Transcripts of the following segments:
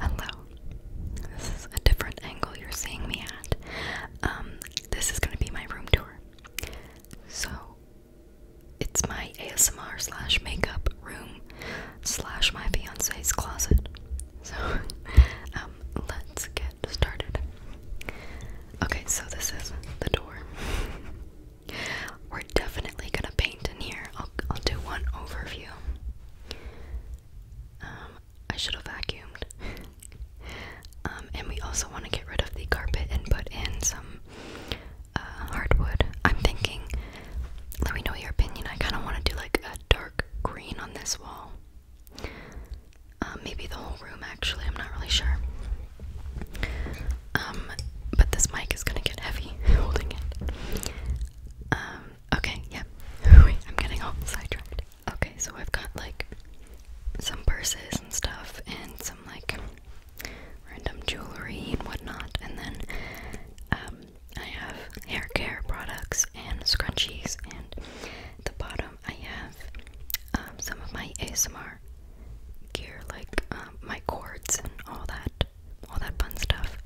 Hello. This is a different angle you're seeing me at. Um, this is gonna be my room tour. So it's my ASMR slash makeup room slash my fiance's closet. So um let's get started. Okay, so this is the door. We're definitely gonna paint in here. I'll I'll do one overview. Um, I should have vacuumed. Um, and we also want to get rid of the carpet and put in some uh, hardwood. I'm thinking, let me know your opinion. I kind of want to do like a dark green on this wall. Um, maybe the whole room, actually. I'm not really sure. but this mic is gonna get heavy holding it. Okay, yeah. I'm getting all sidetracked. Okay, so I've got like some purses and stuff and some like random jewelry and whatnot, and then um, I have hair care products and scrunchies and the bottom I have um, some of my ASMR gear like um, my cords and all that all that fun stuff.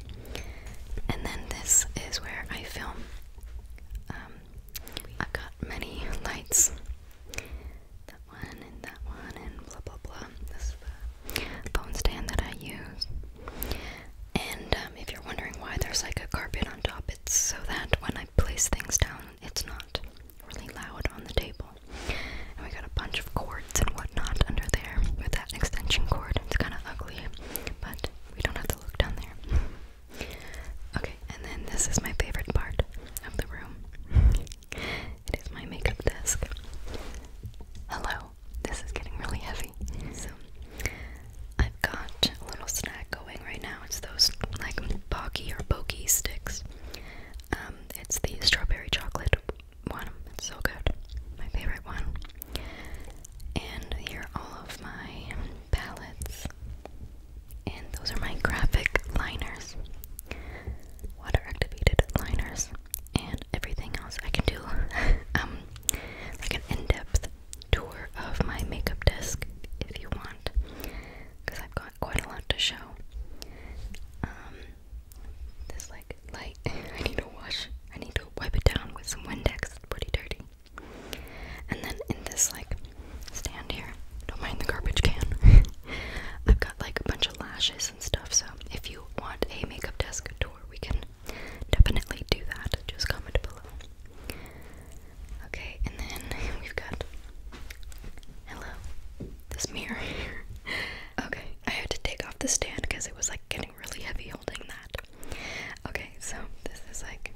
And then this is where I film. Um, I've got many lights. That one and that one and blah blah blah. This is the phone stand that I use. And um, if you're wondering why there's like a carpet on top, it's so that when I place things down, it's not really loud on the table. And we got a bunch of cords and whatnot under there with that extension cord. It's kind of ugly, but we don't have to look down there. Okay, and then this is my favorite part of the room. It is my makeup desk. Hello, this is getting really heavy. So, I've got a little snack going right now. It's those like pocky or pokey sticks. Um, it's the strawberry chocolate one. so good. My favorite one. And here are all of my palettes. And those are my graphic liners. Water activated liners. And everything else I can do um like an in-depth tour of my makeup desk if you want. Because I've got quite a lot to show. Um, this like light. I need to wash. I need to wipe it down with some Windex. It's pretty dirty. And then in this like stand here, don't mind the garbage can. I've got like a bunch of lashes and stuff. So if you want a makeup desk tour, we can definitely do that. Just comment below. Okay, and then we've got hello. This mirror. here. okay, I had to take off the stand because it was like getting really heavy holding that. Okay, so this is like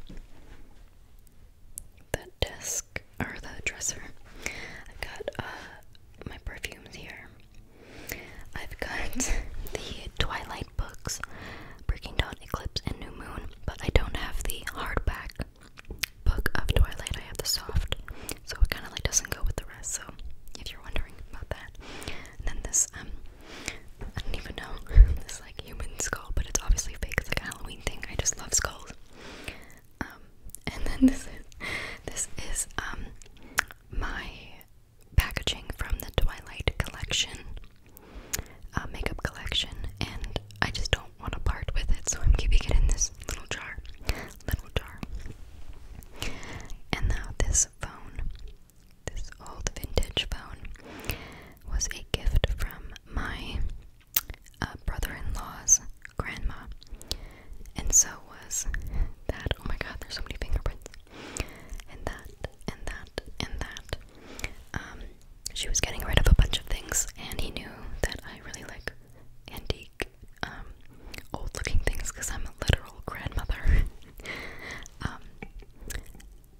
the desk or the dresser. I've got uh, my perfumes here. I've got the Twilight books, Breaking Dawn, Eclipse, and New Moon, but I don't have the hardback book of Twilight. I have the soft, so it kind of like doesn't go with the rest. So if you're wondering about that, and then this, um, I don't even know, this like human skull, but it's obviously fake. It's like Halloween thing. I just love skulls. Um, and then this is, this is, um, my packaging from the Twilight collection, uh, makeup collection, and I just don't want to part with it, so I'm keeping it in this little jar, little jar. And now this this phone, this old vintage phone, was a gift from my uh, brother in law's grandma. And so was that. Oh my god, there's so many fingerprints. And that, and that, and that. Um, she was getting rid of a bunch of things, and he knew that I really like antique like um, old looking things because I'm a literal grandmother. um,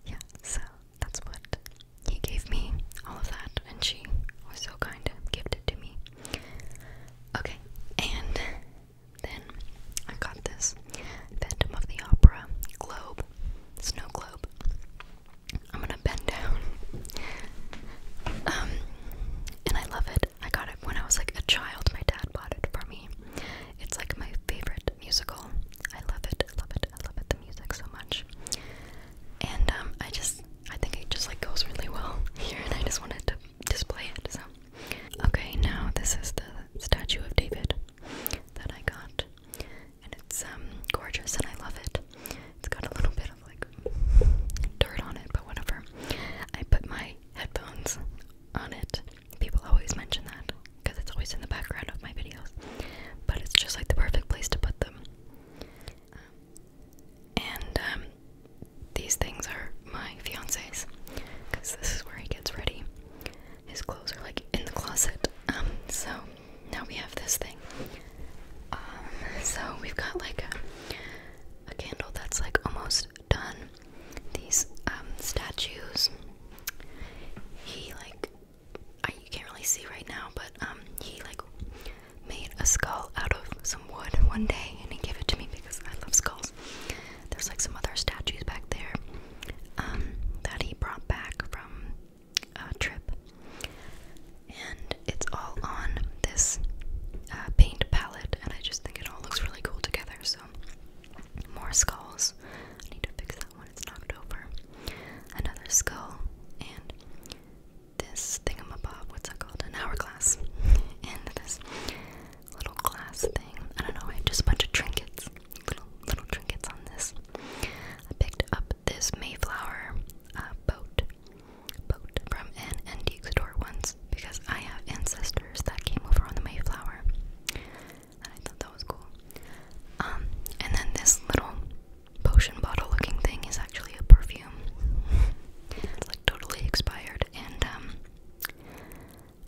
yeah, so that's what he gave me, all of that, and she was so kind to give it to me. Okay, and then I got this Phantom of the Opera globe, snow globe. I'm gonna bend down. Um, and I love it. I got it when I was like a child. My dad bought it for me. It's like my favorite musical. I love it. I love it. I love it. The music so much. And um, I just, I think it just like goes really well here, and I just wanted to display it. So, okay, now this is the statue of David that I got, and it's um gorgeous, and I love it. It's got a little bit of like dirt on it, but whatever. I put my headphones on it. People always mention that because it's always in the background of my videos, but it's just like the perfect place to put them. Um, and um, these things are my fiance's because this is where he gets ready. His clothes are like in the closet. Um, so now we have this thing. so we've got like a candle that's like almost done, these um, statues. He like I, you can't really see right now, but um, he like made a skull out of some wood one day, and he gave it to me because I love skulls. There's like some other statues back there um, that he brought back from a trip, and it's all on this uh, paint palette and I just think it all looks really cool together. So, more skulls. I need to fix that one, it's knocked over. Another skull, and this thing thingamabob, what's that called? An hourglass. And this little glass thing. I don't know, I have just a bunch of trinkets. Little, little trinkets on this. I picked up this Mayflower uh, boat boat from an antique store once because I have ancestors that came over on the Mayflower. And I thought that was cool. Um, and then this little potion bottle looking thing is actually a perfume. it's like totally expired and um,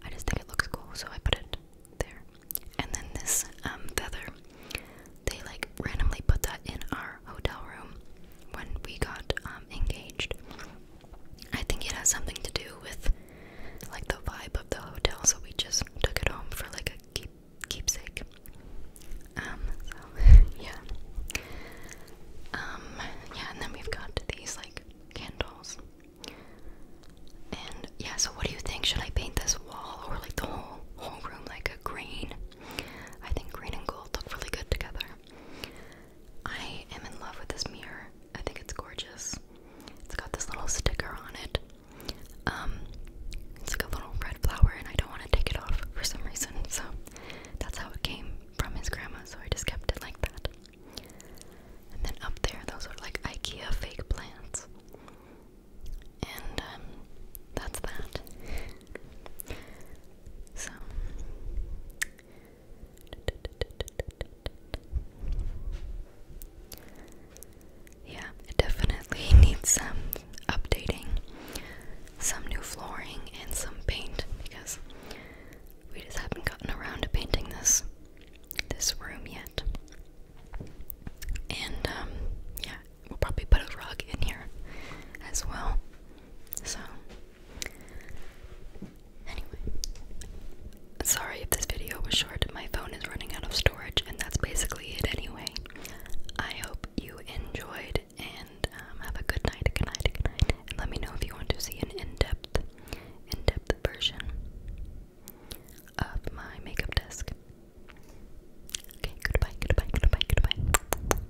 I just think it looks cool, so I put it there. And then this um, feather, they like randomly put that in our hotel room when we got engaged. I think it has something to do with like the vibe of the hotel, so we just took it home for like a keepsake. Um, yeah. Um, yeah, and then we've got these like candles. And yeah, so what do you think? Should I paint this wall or like the whole whole room like a green? I think green and gold look really good together. I am in love with this mirror. I think it's gorgeous. It's got this little sticker on it. Um, it's like a little red flower, and I don't want to take it off for some reason. So that's how it came from his grandma. So I just kept it like that. And then up there, those are like IKEA fake plants. And um, that's that. So yeah, it definitely needs some updating, some new flooring, and some paint because we just haven't gotten around to painting this this room yet. And um, yeah, we'll probably put a rug in here as well. So Anyway, sorry if this video was short. My phone is running out of storage, and that's basically it anyway. I hope you enjoyed and um, have a good night, good night, good night. And let me know if you want to see an in-depth, in-depth version of my makeup desk. Okay, goodbye, goodbye, goodbye, goodbye.